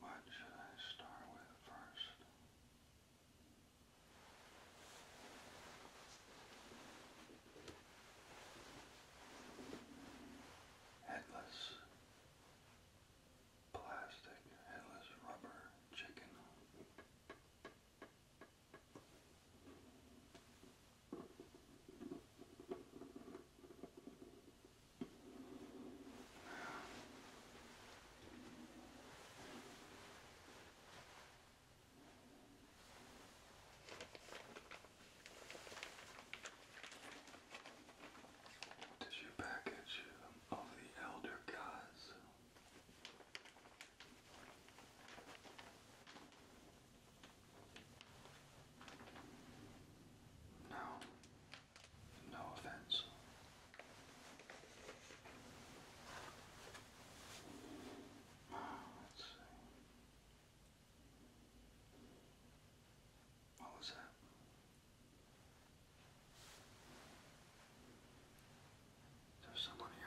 What should I start with first? Headless plastic, headless rubber chicken. Tissue package of the elder gods. No, no offense. Ah, let's see. What was that? There's someone here.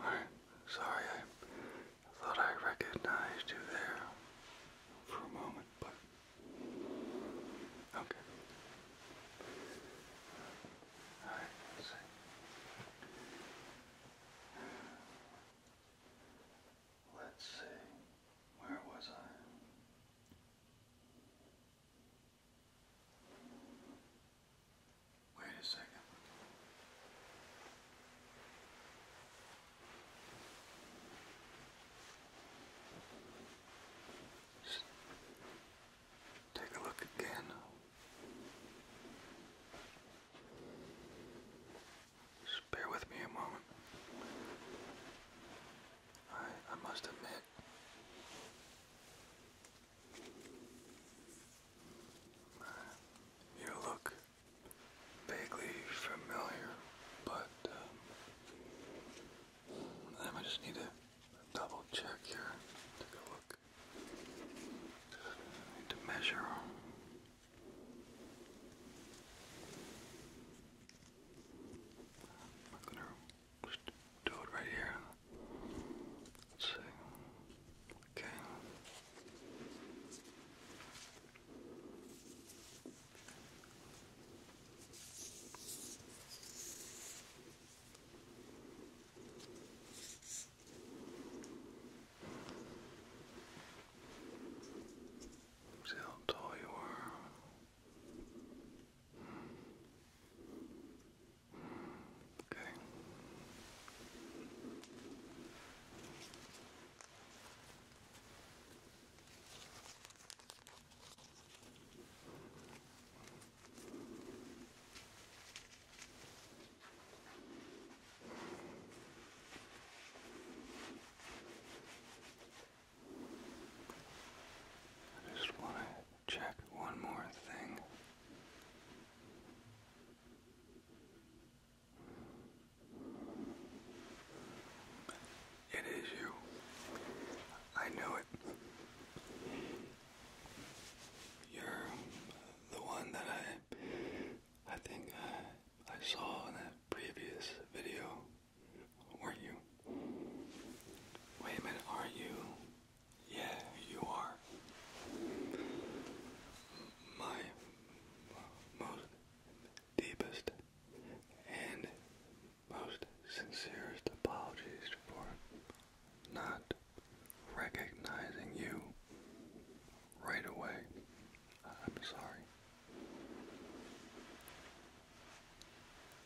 Alright, sorry, I thought I recognized you there for a moment, but Okay. All right, let's see. Let's see. Where was I? Wait a second. Just take a look again. Just bear with me a moment. I I must admit you look vaguely familiar, but um, um, I just need to double check here. Take a look. need to measure. I'm gonna just do it right here. Let's see. Okay. See how tall you are. Okay. I just want to check one more thing. It is you. I knew it. You're the one that I, I think I, I saw in that previous video, were you? Wait a minute, are you? Yeah, you are. My most deepest and most sincerest apologies for not recognizing you right away. I'm sorry.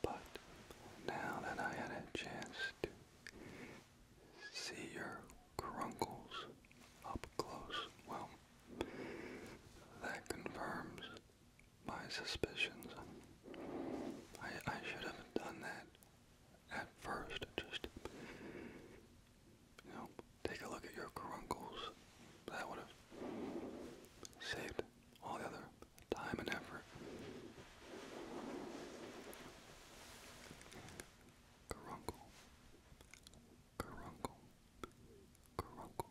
But now that I had a chance to see your crunkles up close, well, that confirms my suspicions. I, I should have done that at first. Just, you know, take a look at your caruncles. That would have saved all the other time and effort. Caruncle. Caruncle. Caruncle.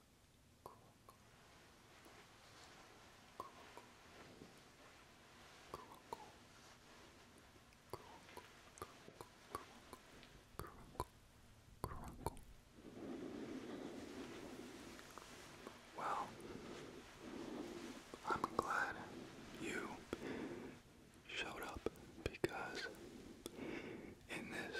cool, Well, I'm glad you showed up because in this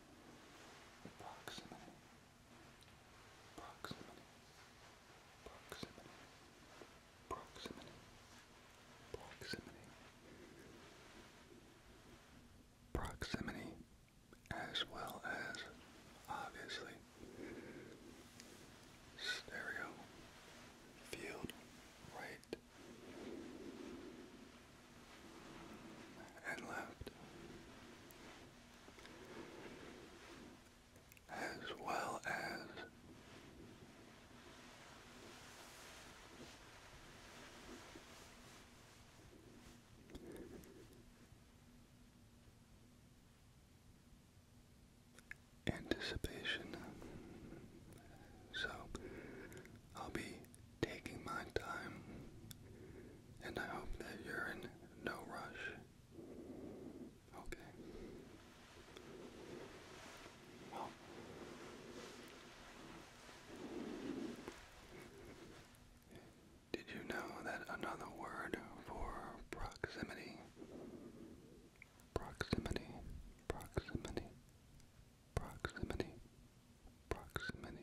Proximity. Proximity. Proximity. Proximity. Proximity. Proximity as well as obviously stereo field right and left, as well as anticipation. So I'll be taking my time, and I hope that you're in no rush. Okay. Well, did you know that another word for proximity? Proximity, proximity, proximity, proximity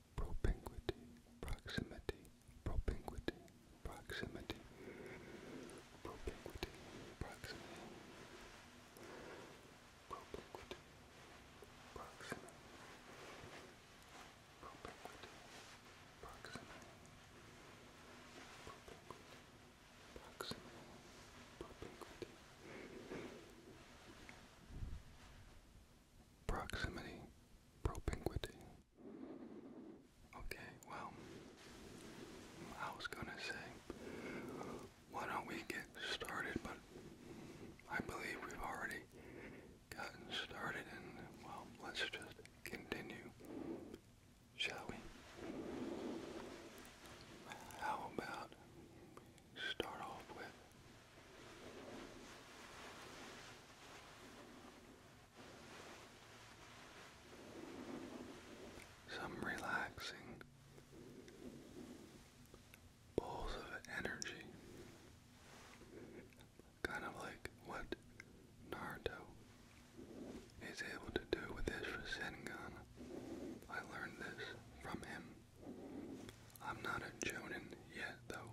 propinquity, proximity, propinquity, proximity, propinquity, proximity, propinquity, proximity, propinquity, proximity, propinquity, proximity, propinquity. Okay, well, I was gonna say, why don't we get started, but I believe we've already gotten started, and well, let's just continue, shall we? How about we start off with some relaxing balls of energy, kind of like what Naruto is able to do with his Rasengan. I learned this from him. I'm not a Jonin yet though.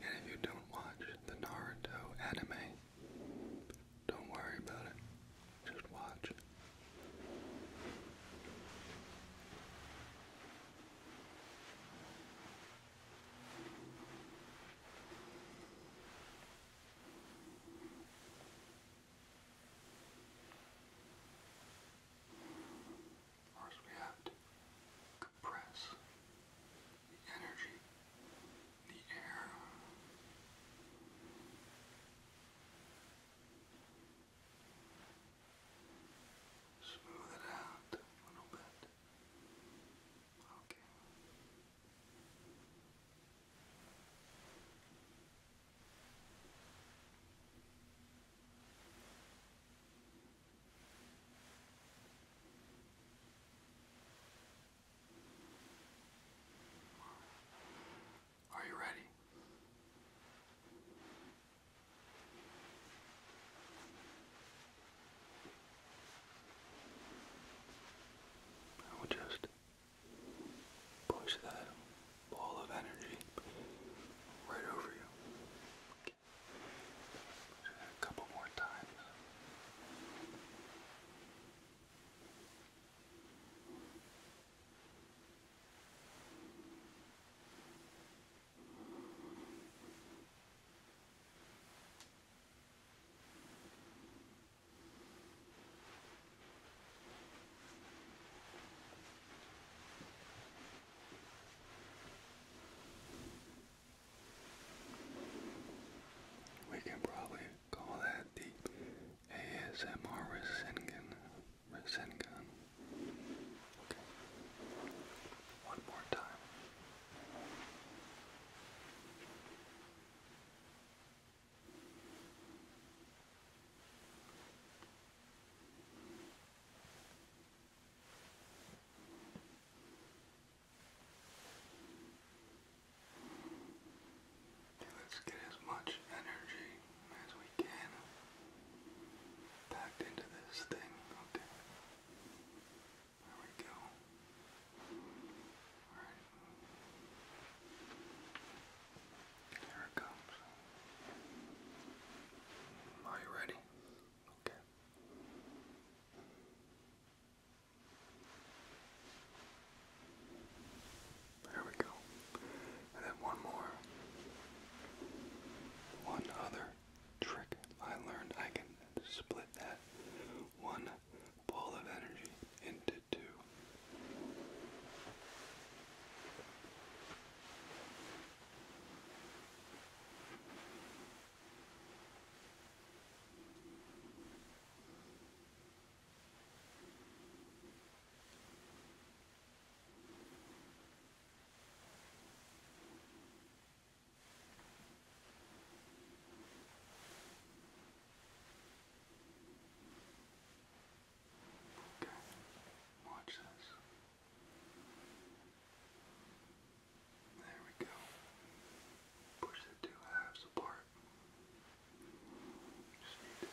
And if you don't watch the Naruto anime, don't worry about it. Just watch. Of course, we have to compress the energy, the air. Smooth it out a little bit. Okay. Are you ready? I will just push that ball of energy right over you back a couple more times. All we can probably call that the ASMR Rasengan. Okay. One more time. Okay, let's get as much energy as we can packed into this thing. Okay. There we go. Alright. Here it comes. Are you ready? Okay. There we go. And then one more. One other trick I learned I can split that one ball of energy into two. Okay, watch this. There we go. Push the two halves apart. Just need to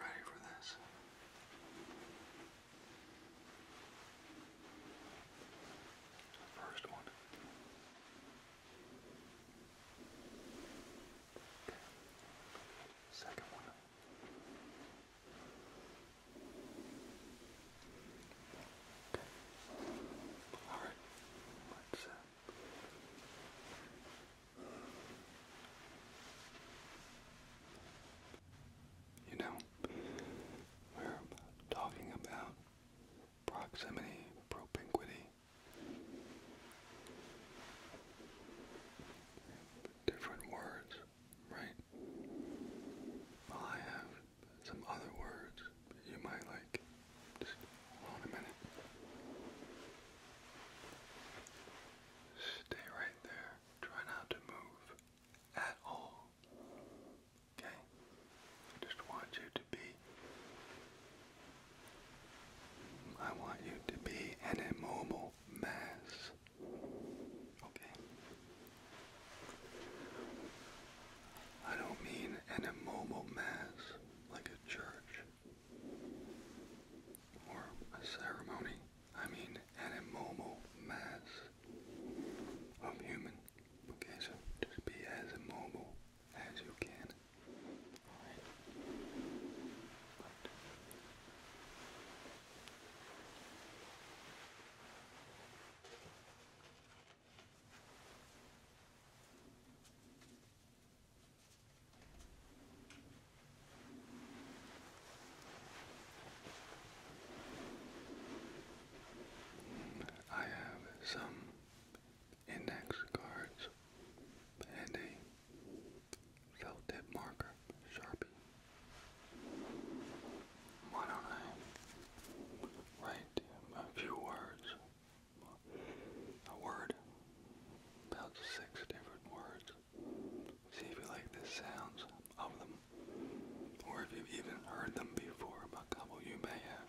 ready for this? first one. Second one. All right. Let's. Uh, you know, we're talking about proximity, propinquity. Different words, right? I have some other words you might like. hold a minute. Stay right there. Try not to move at all. Okay? I just want you to be. I want you to be an immobile mass. Okay? I don't mean an immobile mass like a church or a ceremony. I mean an immobile mass of human. Okay, just be as immobile as you can. Alright. I have some index cards, and a felt tip marker, Sharpie. Why don't I write a few words? A word, about six different words. See if you like the sounds of them, or if you've even heard them before. A couple you may have.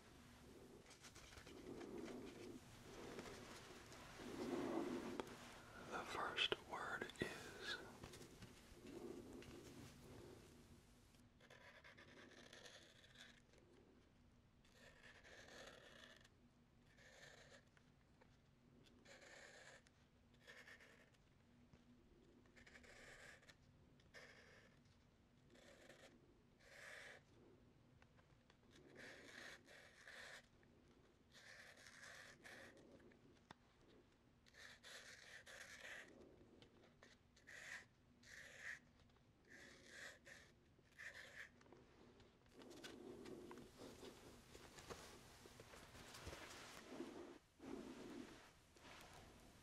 The first word is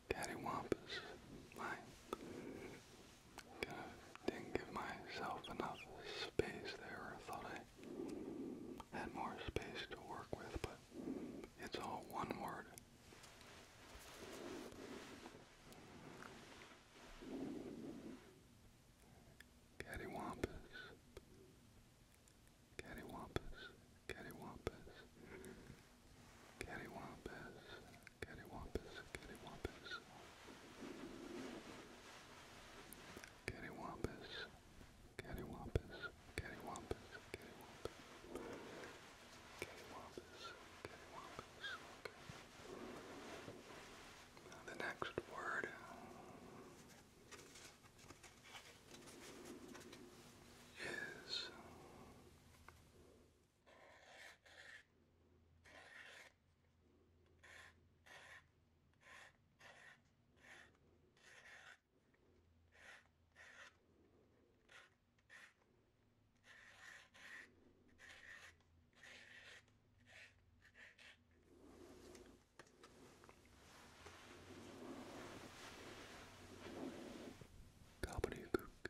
Cattywampus, my Kind didn't give myself enough space there. I thought I had more space to work with, but it's all one word. Cattywampus. Cattywampus. Cattywampus. Cattywampus. Cattywampus, cattywampus. Cattywampus, cattywampus, cattywampus, cattywampus. Cattywampus, cattywampus, okay. Now the next word is Gobbledygook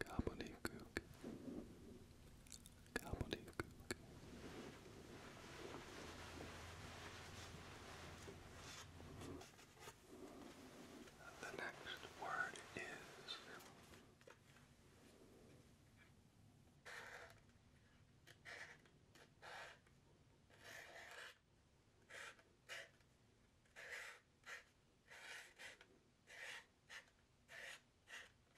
gobbledygook, gobbledygook. The next word is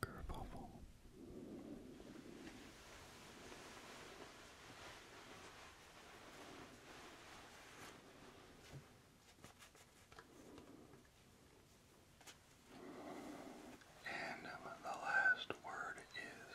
kerfuffle. And the last word is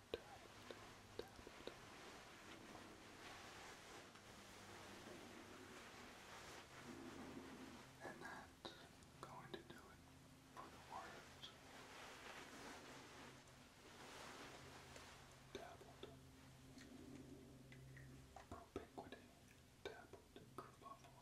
And that's going to do it for the words. Dabbled. Propiquity. Dabbled. Kerbuffalo.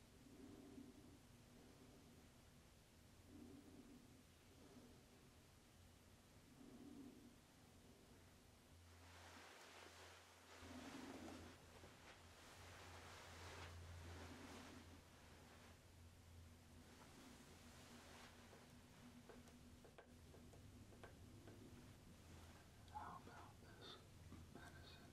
How about this medicine?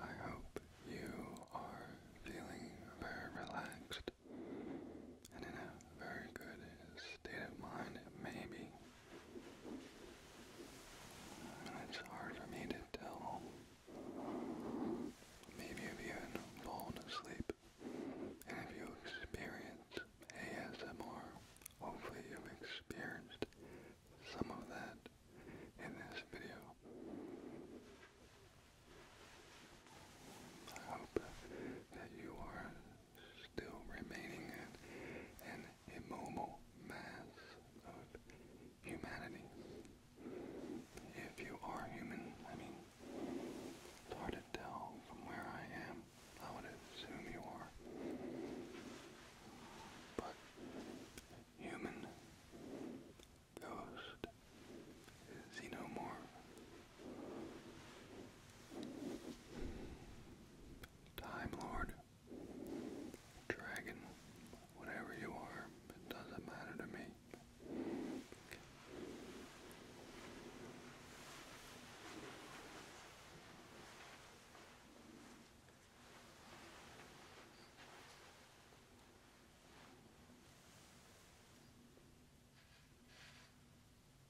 I hope you are feeling very relaxed and in a very good state of mind, maybe. And it's hard for me to tell. Maybe you've fallen asleep. And if you experience ASMR, hopefully you've experienced some of that in this video. I hope that you are still remaining an, an mass of humanity. If you are human, I mean, it's hard to tell from where I am. I would assume you are. But human ghost, xenomorph, Time Lord, Dragon, whatever you are, it doesn't matter to me.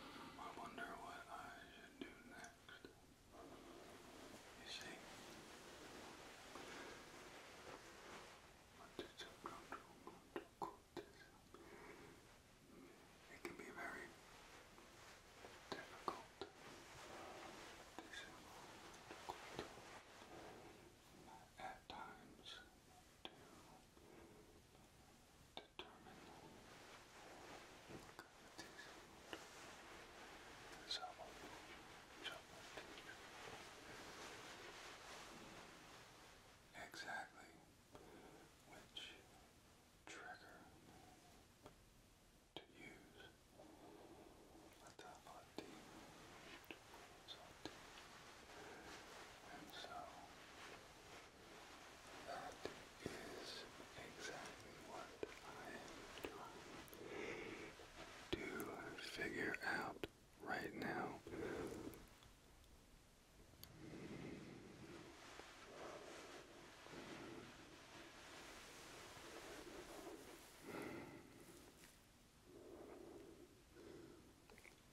I wonder what I should do next. You see, It can be very difficult to quote at times exactly which trigger to use salty, salty. that is exactly what I am trying to figure out right now.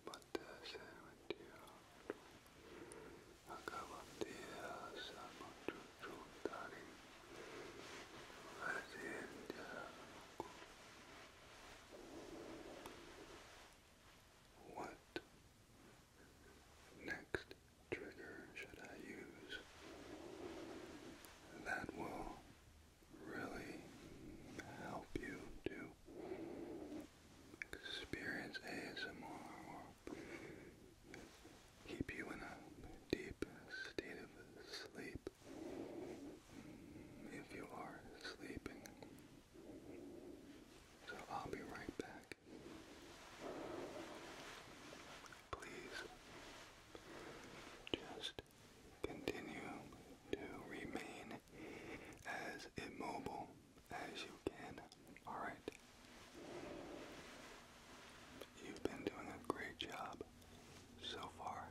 But this in with you. Acabatiya Samuchuchutari Vasindya What next trigger should I use that will really help you to experience ASMR keep you in a deep state of sleep mm, if you are sleeping. So I'll be right back. Please just continue to remain as immobile as you can. Alright? You've been doing a great job so far.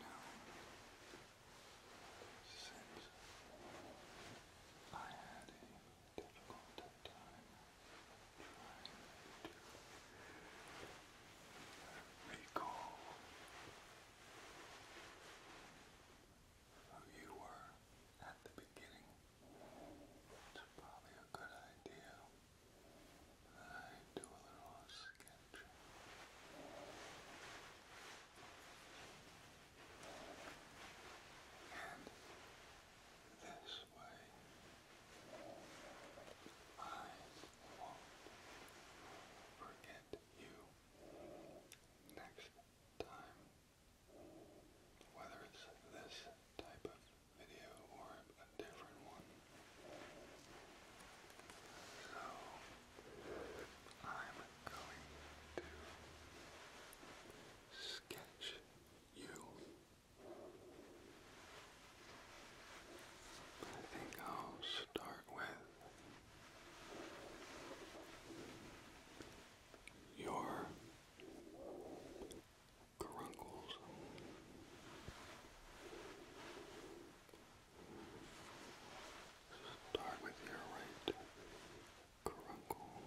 Now, since I had a difficult time trying to recall who you were at the beginning. It's probably a good idea I do a little sketch. And this way, I won't forget you next time whether it's this type of video or a different one. So, I'm going to sketch you. I think I'll start with your caruncles. Start with your right caruncle.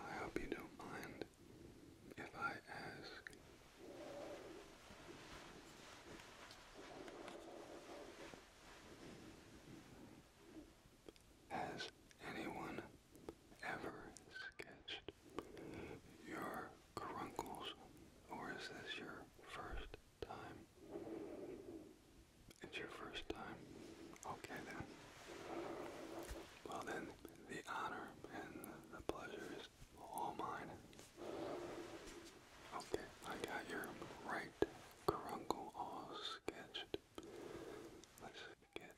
I hope you don't mind if I ask has anyone ever sketched your caruncles, or is this your first time? It's your first time? Okay then. Well then, the honor and the pleasure is all mine. Okay, I got your right caruncle all sketched. Let's get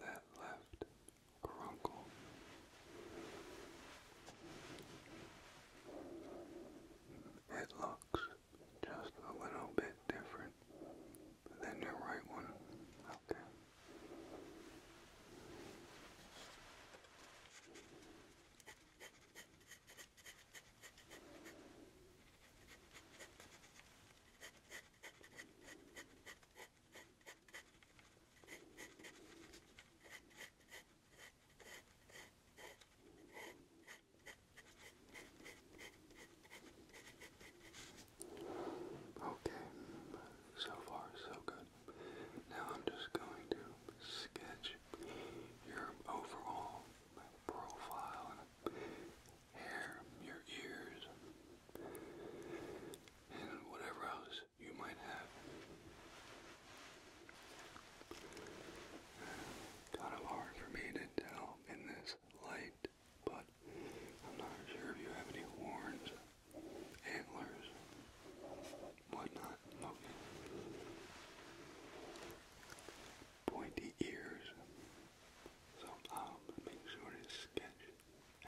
that left crunkle. It looks just a little bit different than your right one. Okay. Okay, so far so good. Now I'm just going to sketch your overall profile and hair, your ears, and whatever else you might have. Kind of hard for me to tell in this light, but I'm not sure if you have any horns, antlers, whatnot. Okay. Pointy ears. So I'll um, make sure to sketch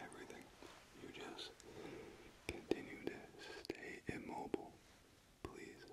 everything. You just continue to stay immobile, please.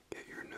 Get your nose.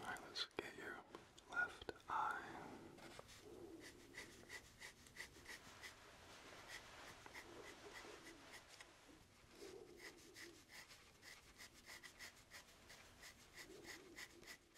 Alright, let's get your left eye.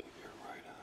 of your right eye.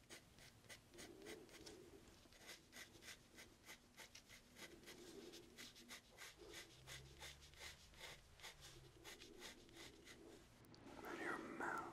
Out your mouth.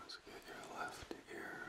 Let's get your left ear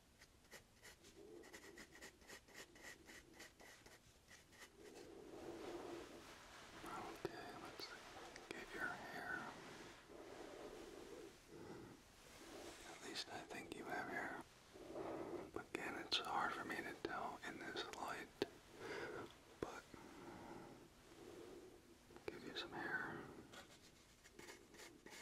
Okay, let's give your hair. At least I think you have hair. Again, it's hard for me to tell in this light, but give you some hair.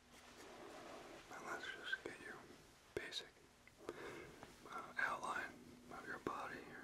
And let's just get you basic uh, outline of your body here.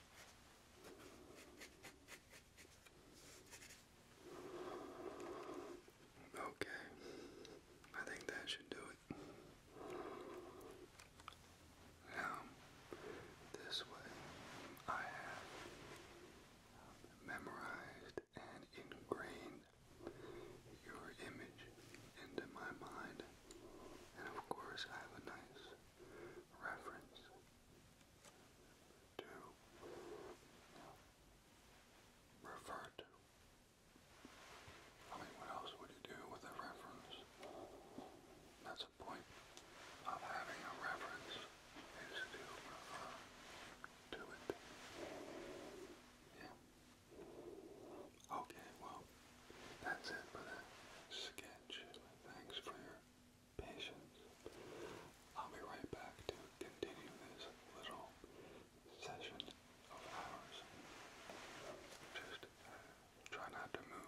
Okay, I think that should do it. Now, this way, I have memorized and ingrained your image into my mind, and of course, I have a nice reference to refer to. I mean, what else would you do with a reference? That's the point of having a reference is to refer it. Yeah. Okay, well, that's it for the sketch. Thanks for your patience. I'll be right back to continue this little session of ours. Just uh, try not to move.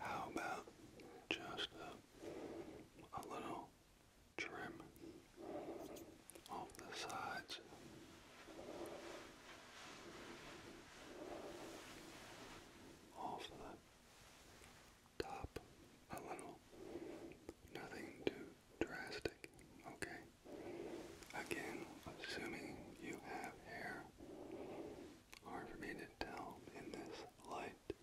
How about just a, little trim off the sides. Off the top a little. Nothing too drastic. Okay. Again, assuming you have hair. Hard for me to tell in this light.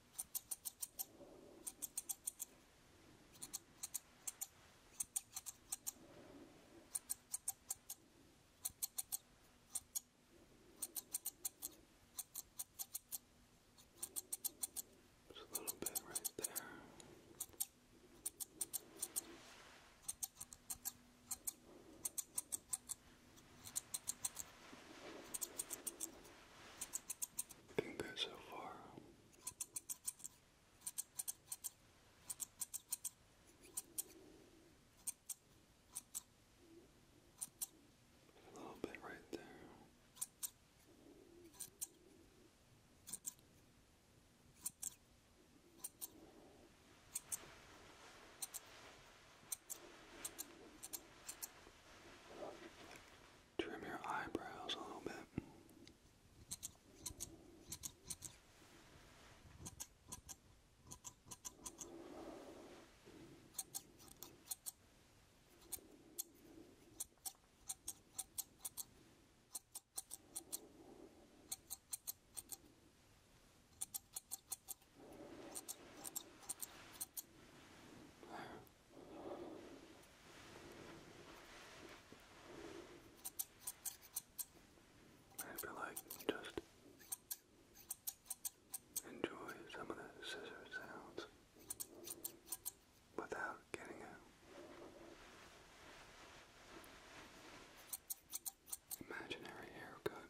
Just a little bit right there. Looking good so far. A little bit right there. Trim your eyebrows a little bit. I feel like just enjoy some of the scissor sounds without getting a imaginary haircut.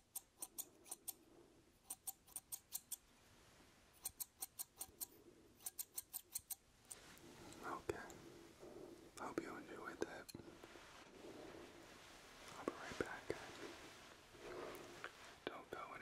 Okay. Hope you enjoyed that. I'll be right back. Don't go anywhere.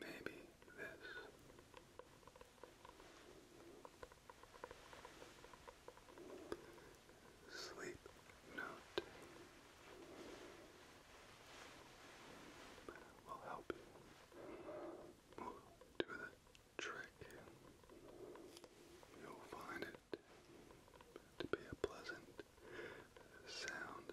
Maybe this. Sleep will help you move to the trick. You'll find it to be a pleasant sound.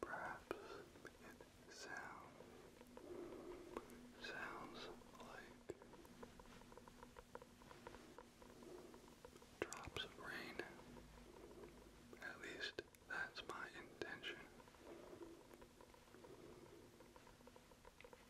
Perhaps it sounds sounds like drops of rain. At least that's my intention.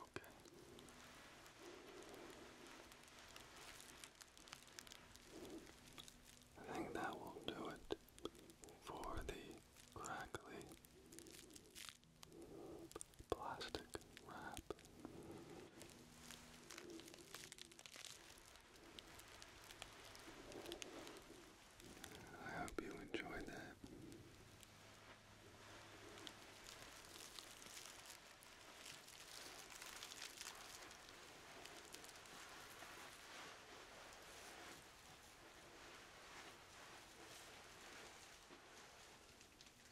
Okay. I think that will do it for the crackly plastic wrap. I hope you enjoyed that.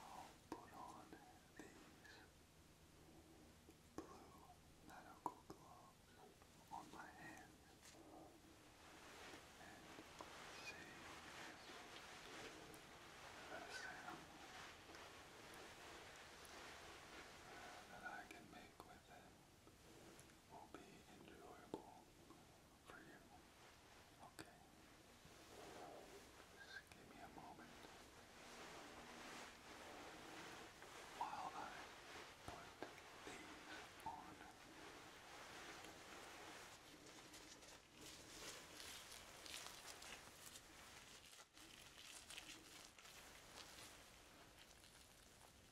I'll put on these blue medical gloves on my hands and see the sound that I can make with them will be enjoyable for you. Okay. give me a moment while I put these on.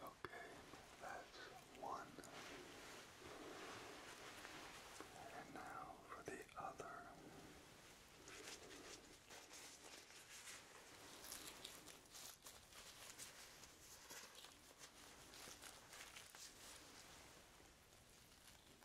Okay, that's one. And now for the other. Okay.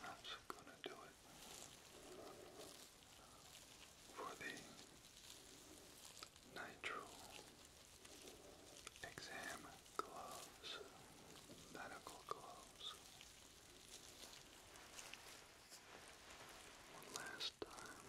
that's gonna do it for the nitro exam gloves, medical gloves. One last time.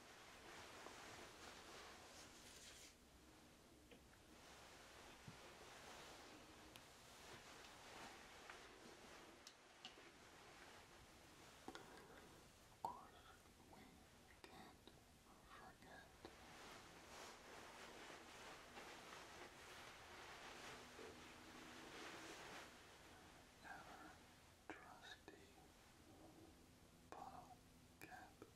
Of course, we can't forget our trusty bottle cap.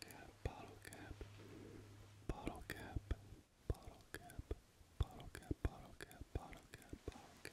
cap, bottle cap, bottle cap, bottle cap, bottle cap, bottle cap, bottle cap, bottle cap.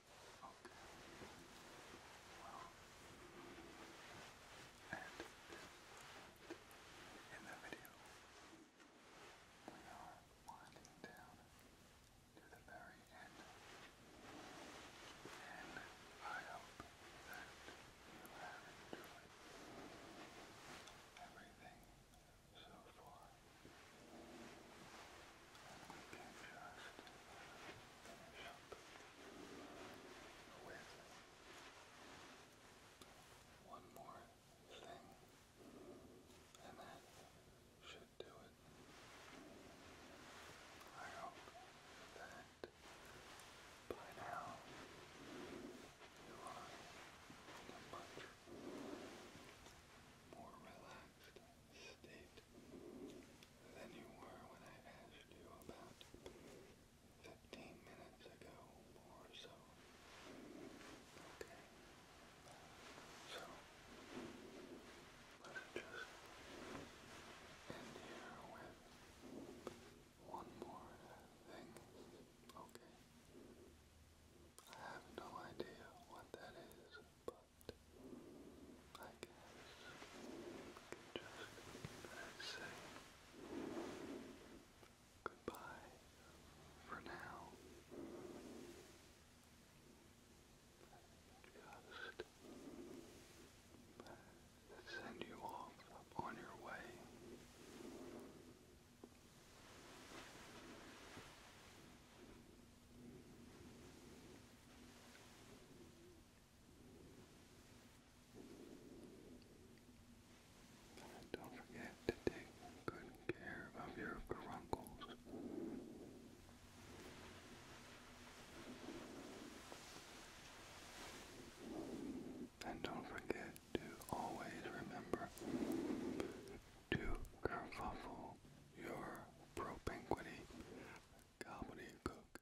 Okay. Well, and in the video, we are winding down to the very end. And I hope that you have enjoyed everything so far. we can just with one more thing, and that should do it. I hope that by now you are in a much more relaxed state than you were when I asked you about 15 minutes ago or so. Okay. So, let's just end here with one more thing. Okay. I have no idea what that is, but I guess just say goodbye for now. Just send you off on your way. And don't forget to take good care of your caruncles. And don't forget to always remember to kerfuffle your propinquity gobbledygook.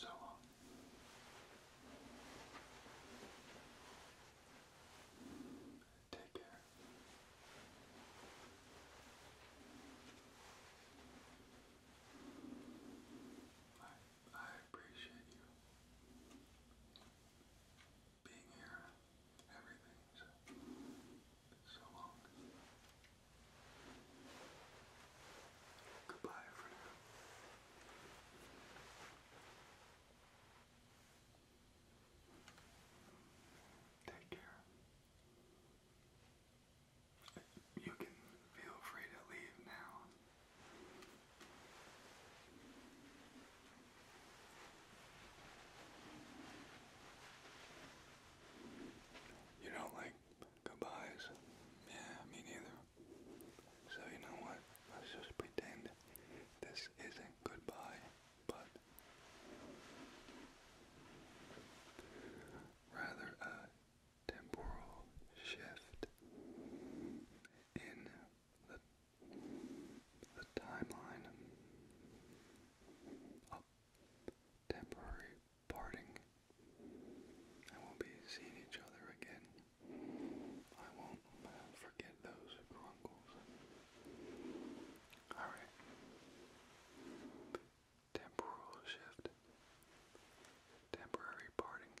So on. Um, take care. I appreciate you being here, everything so long. Goodbye for now. Take care. You can feel free to leave now. You don't like goodbyes? Yeah, me neither. So you know what? Let's just pretend this isn't goodbye, but rather a temporal shift in the, the timeline of temporary parting. I won't be seeing each other again. I won't uh, forget those grunkles. Alright. Temporal shift. Temporary parting.